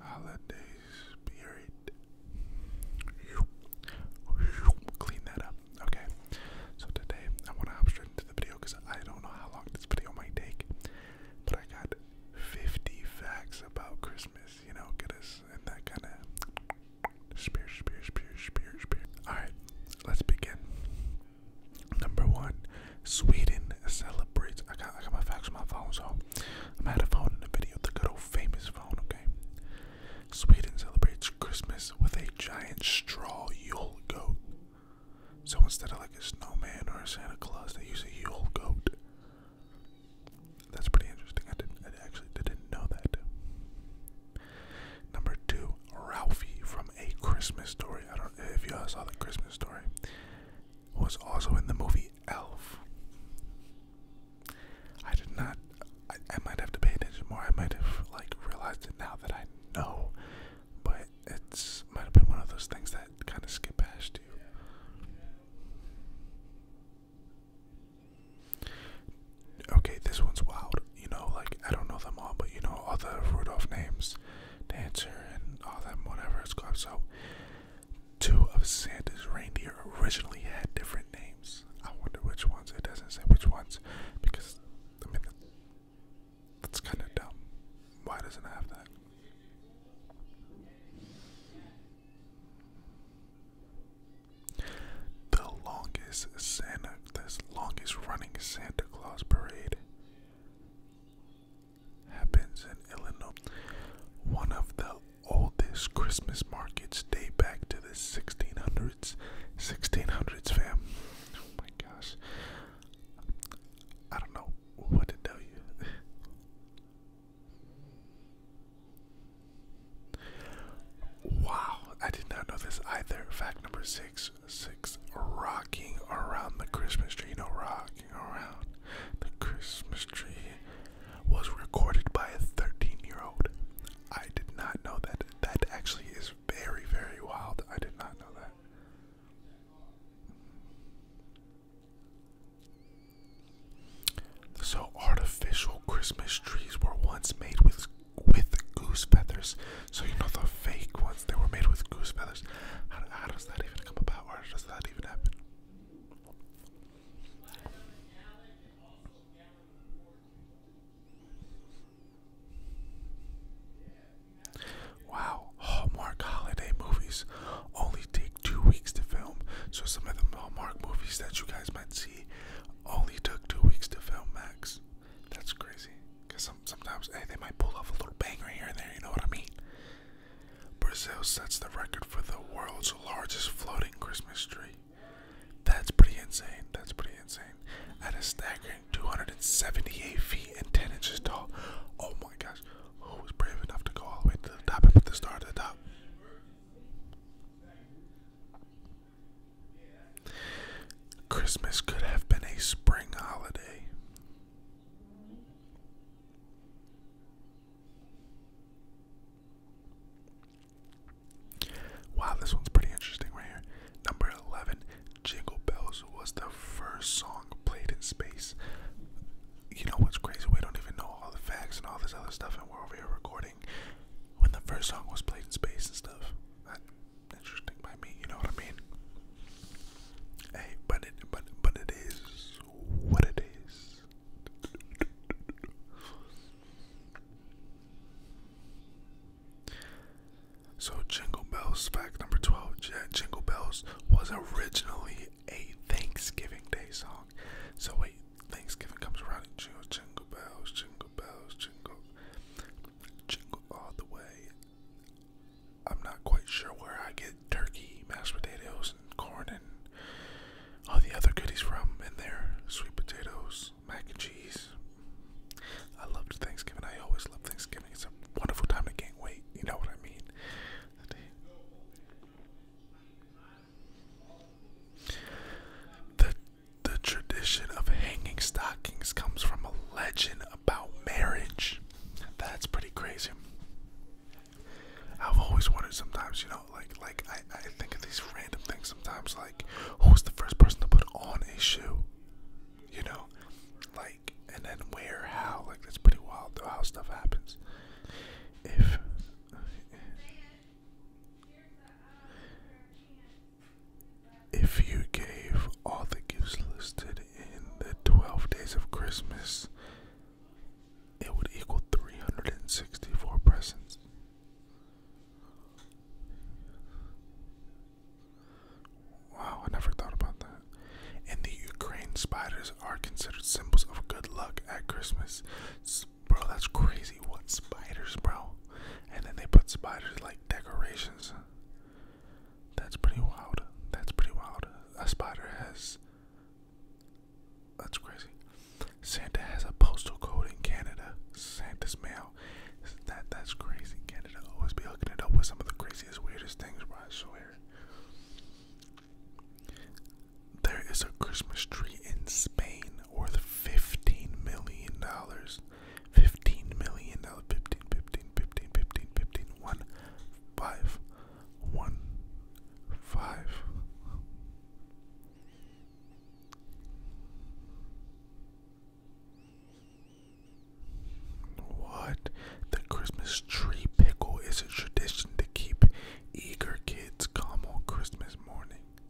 holiday spirit. Clean that up. Okay. So today I want to hop straight into the video because I don't know how long this video might take. But I got 50 facts about Christmas, you know, get us in that kind of spirit, spirit, spirit, spirit, spirit. Alright, let's begin. Number one, Sweden celebrates. I got, I got my facts on my phone, so I'm going a phone in the video, the good old famous phone, okay? Sweden celebrates Christmas with a giant straw Yule goat. So instead of like a snowman or a Santa Claus, they use a Yule goat. That's pretty interesting. I didn't, I actually didn't know that. Number two, Ralphie from A Christmas Story. I don't if y'all saw the Christmas Story was also in the movie Elf. I did not. I, might have to pay attention more. I might have like realized it now that I know, but it's might have been one of those things that kind of skip past you. Okay, this one's wild. You know, like I don't know them all, but you know all the Rudolph names dancer, and all them whatever it's called. So, two of Santa's reindeer originally had different names. I wonder which ones. It doesn't say which ones because I mean that's kind of dumb. Why doesn't it have that? The longest Santa, this longest running Santa Claus parade happens in Illinois. One of the oldest Christmas markets date back to the 1600s. 1600s, fam. Oh my gosh. I don't know what to tell you. wow, I did not know this either. Fact number six 6 Rocking Around the Christmas Tree. You Rocking Around the Christmas Tree was recorded by a 13 year old. I did not know that. That actually is very, very wild. I did not know that. So artificial Christmas trees were once made with with goose feathers so you know the fake ones they were made with goose feathers. How, does that even come about, or does that even happen? Wow, Hallmark holiday movies only take two weeks to film. So some of the Hallmark movies that you guys might see only took two weeks to film max. That's crazy. Cause sometimes hey, they might pull off a little banger here and there. You know what I mean? Brazil sets the record for the world's largest floating Christmas tree. That's pretty insane. That's pretty insane. At a staggering 278 feet and 10 inches tall. Oh my gosh. Who was brave enough to go all the way to the top and put the star to the top? Christmas could have been a spring holiday. Wow, this one's pretty interesting right here. Number 11, Jingle Bells was the first song played in space. You know what's crazy? We don't even know all the facts and all this other stuff, and we're over here recording when the first song was played in space and stuff interesting by me, you know what I mean? Hey, but it but but it is what it is. So Jingle Bells, fact number 12, Jingle Bells was originally a Thanksgiving Day song. So wait, Thanksgiving comes around and jingle bells, jingle bells, jingle, jingle all the way, I'm not quite sure where I get turkey, mashed potatoes, and corn, and all the other goodies from And there. Sweet potatoes, mac and cheese. I loved Thanksgiving. I always love Thanksgiving. It's a wonderful time. to gain weight. You know what I mean? The the tradition of hanging stockings comes from a legend about marriage. That's pretty crazy. I've always wondered sometimes, you know, like like I, I think of these random things sometimes like who's the first person to put on a shoe? You know? Like and then where, how, like that's pretty wild how stuff happens. If uh, if you gave all the gifts listed in the 12 days of Christmas, it would equal 364 presents. Wow, I never thought about that. And the Ukraine, spiders are considered symbols of good luck at Christmas. Bro, that's crazy. What spiders, bro? and then they put spiders like decorations. That's pretty wild. That's pretty wild. A spider has. That's crazy. Santa has a postal code in Canada. Santa's mail. That that's crazy. Canada always be hooking it up with some of the craziest, weirdest things, bro. I swear. There is a Christmas tree in Spain worth fifteen million dollars. Fifteen million dollars. Fifteen, fifteen, fifteen, fifteen, What? The Christmas tree pickle is a tradition to keep eager kids calm on Christmas morning.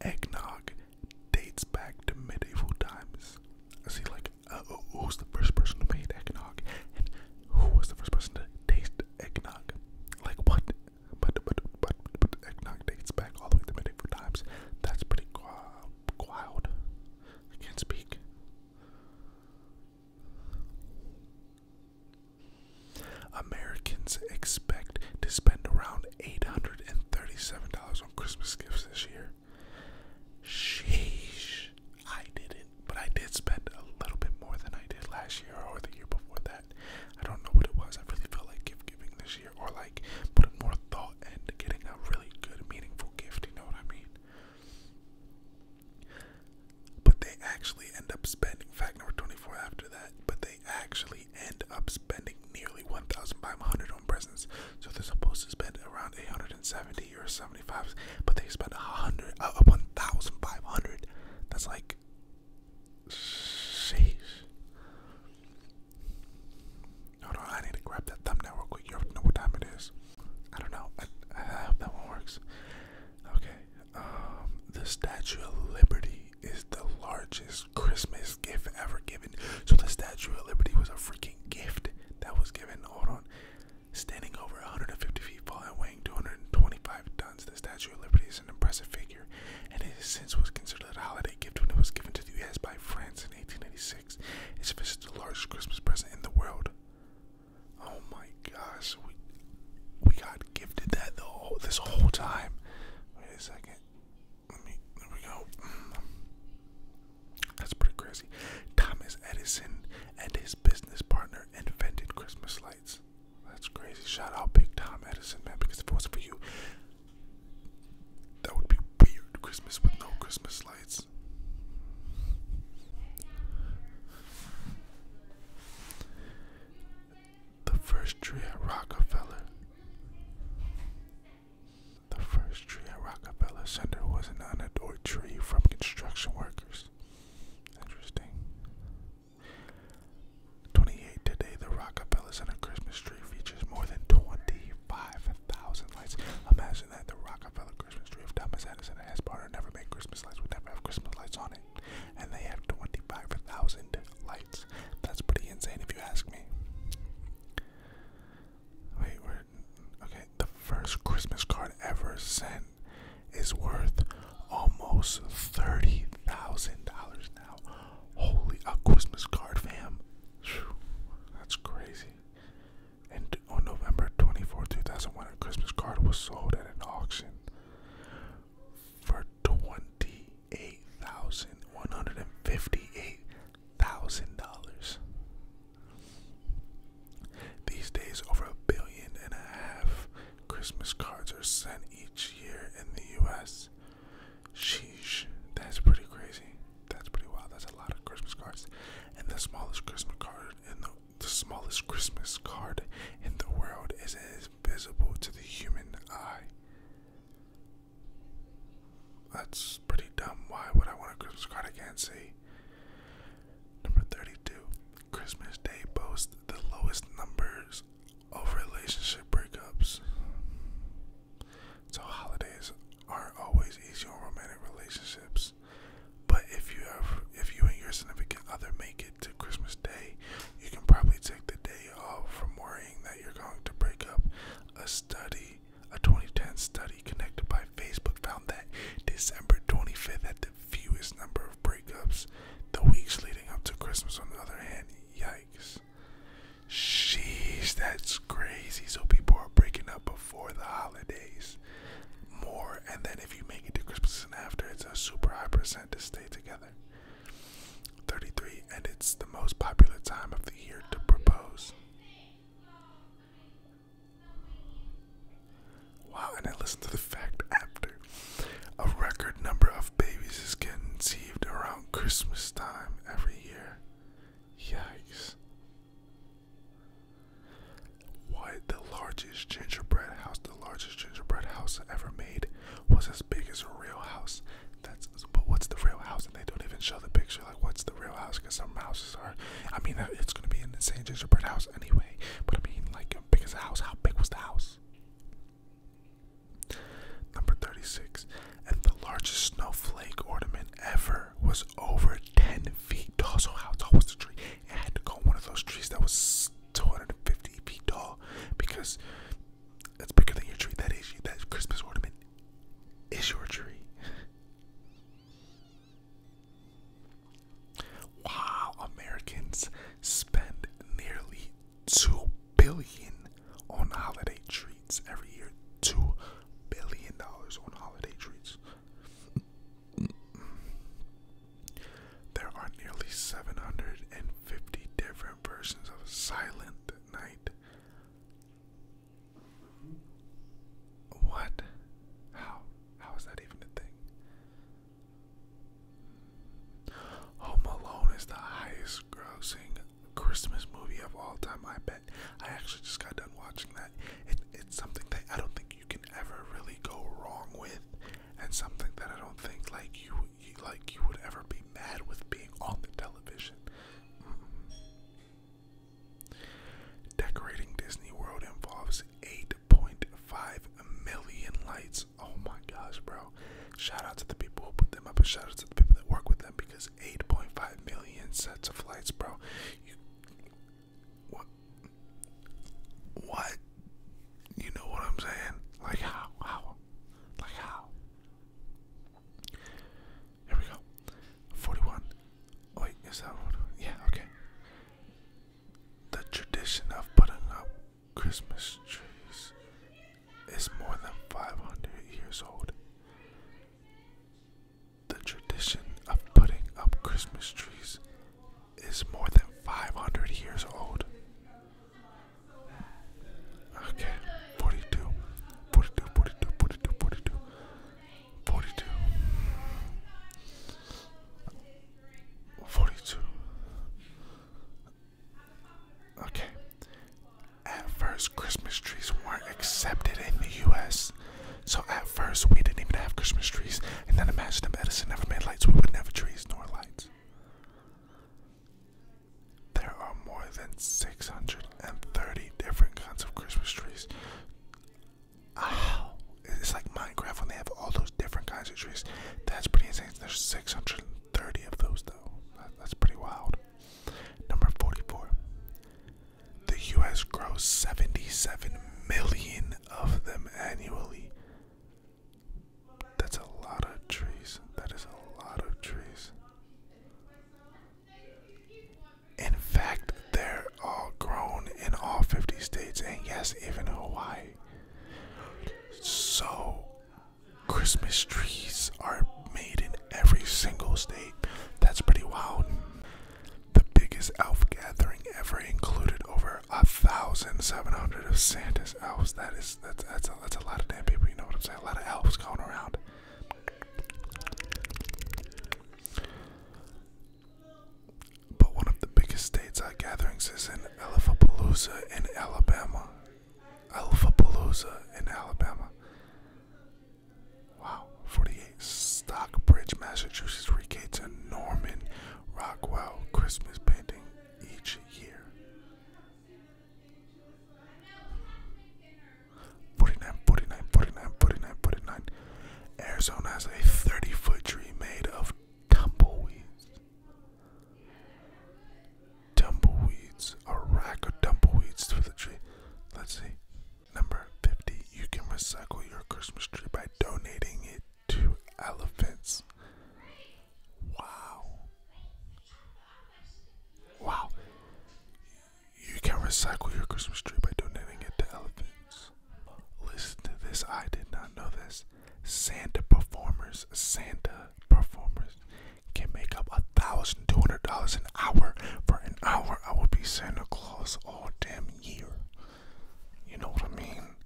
Eggnog dates back to medieval times. See, like, uh, who's the first person who made eggnog, and who was the first person to taste eggnog? Like, what? But but but but eggnog dates back all the way to medieval times. That's pretty wild. I can't speak. Americans expect to spend around $837 on Christmas gifts this year. Sheesh. I didn't, but I did spend a little bit more than I did last year or the year before that. I don't know what it was. I really felt like gift giving this year or like putting more thought into getting a really good, meaningful gift. You know what I mean? but they actually end up spending fact number 24 after that but they actually end up spending nearly 1500 on presents so they're supposed to spend around 870 or 75 but they spend 100 uh, 1500 that's like sheesh hold on i need to grab that thumbnail real quick you know what time it is i don't know I hope that one works okay um, the Statue of Liberty is the largest Christmas gift ever given. So the Statue of Liberty was a freaking gift that was given. Hold on, standing over 150 feet tall and weighing 225 tons, the Statue of Liberty is an impressive figure, and it since was considered a holiday gift when it was given to the U.S. by France in 1886. It's officially the largest Christmas present in the world. Oh my gosh, we we got gifted that the whole, this whole time. Wait a second. There we go. That's pretty crazy. Thomas Edison and his business partner invented Christmas lights. That's crazy. Shout out Big Tom Edison, man, because if it wasn't for you, that would be weird. Christmas with no Christmas lights. The first tree at Rockefeller. The first tree at Rockefeller Center was an unadorned tree from construction workers. Interesting. 28 today, the Rockefeller Center Christmas tree features more than 25,000 lights. Imagine that the Rockefeller Christmas tree. If Thomas Edison and his never made Christmas lights, We never have Christmas lights on it and they have 25,000 lights. That's pretty insane if you ask me. Wait, we're. Okay, the first Christmas card ever sent is worth almost $30,000 now. Holy, a Christmas card, fam. that's crazy. And on November 24, 2001, a Christmas card was sold at an auction for twenty-eight thousand one hundred and fifty-eight thousand dollars. These days, over a billion and a half Christmas cards are sent each year in the U.S. Sheesh, that's pretty crazy. That's pretty wild. That's a lot of Christmas cards, and the smallest Christmas card in the the smallest Christmas card in the world is invisible to the human eye. That's pretty dumb. Why would I want a Christmas card I can't see? Number 32. Christmas Day boasts the lowest numbers of relationship breakups. So holidays aren't always easy on romantic relationships. But if you have, if you and your significant other make it to Christmas Day, you can probably take the day off from worrying that you're going to break up. A study, a 2010 study connected by Facebook, found that December 25th had the fewest number of breakups. The weeks leading up to Christmas, on the other hand, yikes. Sheesh, that's crazy. So people are breaking up before the holidays more, and then if you make it to Christmas and after, it's a super high percent to stay together. 33, and it's the most popular time of the year to propose. Wow, and I listened to the fact after. A record number of babies is conceived around Christmas time every year. Yikes. What? The largest gingerbread house, the largest gingerbread house ever made was as big as a real house. That's but what's the real house? And they don't even show the picture. Like, what's the real house? Because some houses are. I mean, uh, it's gonna be an insane gingerbread house anyway. But I mean, like, big as house. How big was the house? Number thirty-six, and the largest snowflake ornament ever was over 10 feet tall. So, how tall was the tree? It had to go one of those trees that was 250 feet tall because that's bigger than your tree. That is that Christmas ornament is your tree. wow, Americans spend nearly two billion on holiday treats every year. Two billion dollars on holiday treats. There are nearly 750 different versions of Silent Night. What? How? How is that even a thing? Home Alone is the highest grossing Christmas movie of all time, I bet. I actually just got done watching that it's something that I don't think you can ever really go wrong with, and something that I don't think like you, like you would ever be mad with being on the television. Mm-hmm. Decorating Disney World involves 8.5 million lights. Oh my gosh, bro! Shout out to the people who put them up, and shout out to the people that work with them because 8.5 million sets of lights, bro. What? What? You know what I'm saying? Like how? How? Like how? Here we go. 41. Wait, is that what? Yeah, okay. The tradition of putting up Christmas trees is more than 500 years old. The tradition of putting up Christmas trees is more than 500 years old. Okay, 42, Okay. At first, Christmas trees weren't accepted in the U.S. So at first, we didn't even have Christmas trees. And then imagine if Edison never made lights, we wouldn't have trees nor lights. There are more than 630 different kinds of Christmas trees. Wow. It's like Minecraft when they have all those different kinds of trees. That's pretty insane. There's 630 of those, though. That's pretty wild. Number 44. The US grows 77 million of them annually. That's a lot of trees. That is a lot of trees. In fact, they're all grown in all 50 states and yes, even Hawaii. So, Christmas trees are made in every single state. That's pretty wild. The biggest elf gathering ever included over a thousand seven hundred of Santa's elves. That is that's that's a, that's a lot of damn people. You know what I'm saying? A lot of elves going around. But one of the biggest states gatherings is in Elephapalooza in Alabama. Alphapalooza in Alabama. Wow. 48. Stockbridge, Massachusetts regates a Norman Rockwell Christmas painting each year. 49, Arizona has a 30 foot tree made of tumbleweeds. Tumbleweeds. A rack of tumbleweeds through the tree. Let's see. Number 50. You can recycle your Christmas tree by donating it to elephants. Wow. Wow. You can recycle your Christmas tree by donating it to elephants. Listen to this. I did not know this. Santa performers. Santa performers can make up a thousand two hundred dollars an hour for an hour I would be Santa Claus all damn year. You know what I mean?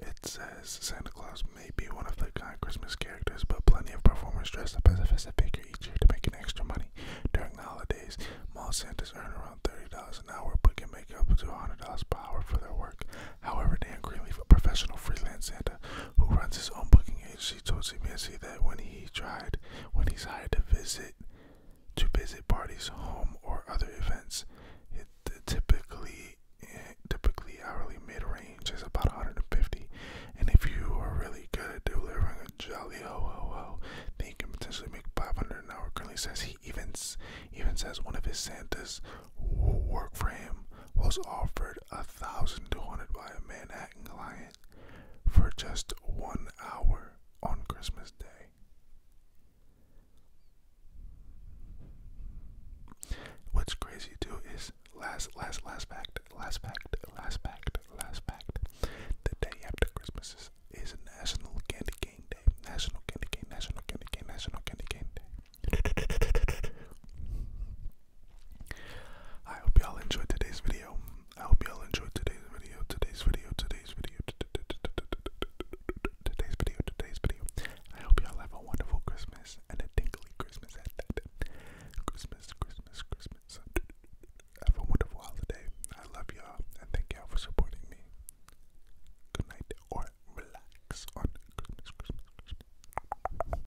It says Santa Claus may be one of the kind Christmas characters, but plenty of performers dress up as a festive figure each year to make an extra money during the holidays. Mall Santas earn around thirty dollars an hour, but can make up to hundred dollars per hour for their work. However, Dan Greenleaf, a professional freelance Santa who runs his own booking agency, told CBS that when he tried, when he's hired to visit, to visit parties, home, or other events, it typically eh, typically hourly mid range is about 150 and if you are really good at delivering a jolly ho ho ho then you can potentially make 500 an hour currently says he even even says one of his santas who work for him was offered a thousand thousand two hundred by a manhattan lion for just one hour on Christmas Day. What's crazy too is last, last, last fact, last fact, last fact, last fact. The day after Christmas is, is National Candy Cane Day. National Candy Cane, National Candy Cane, National Candy Cane Day. I hope y'all enjoyed today's video. I hope y'all enjoyed today's video, today's video, today's video, today's video, today's video. I hope y'all have a wonderful Christmas and a tingly Christmas at that. Christmas, Christmas, Christmas. Have a wonderful holiday. I love y'all and thank y'all for supporting me. Good night or relax on Christmas, Christmas, Christmas.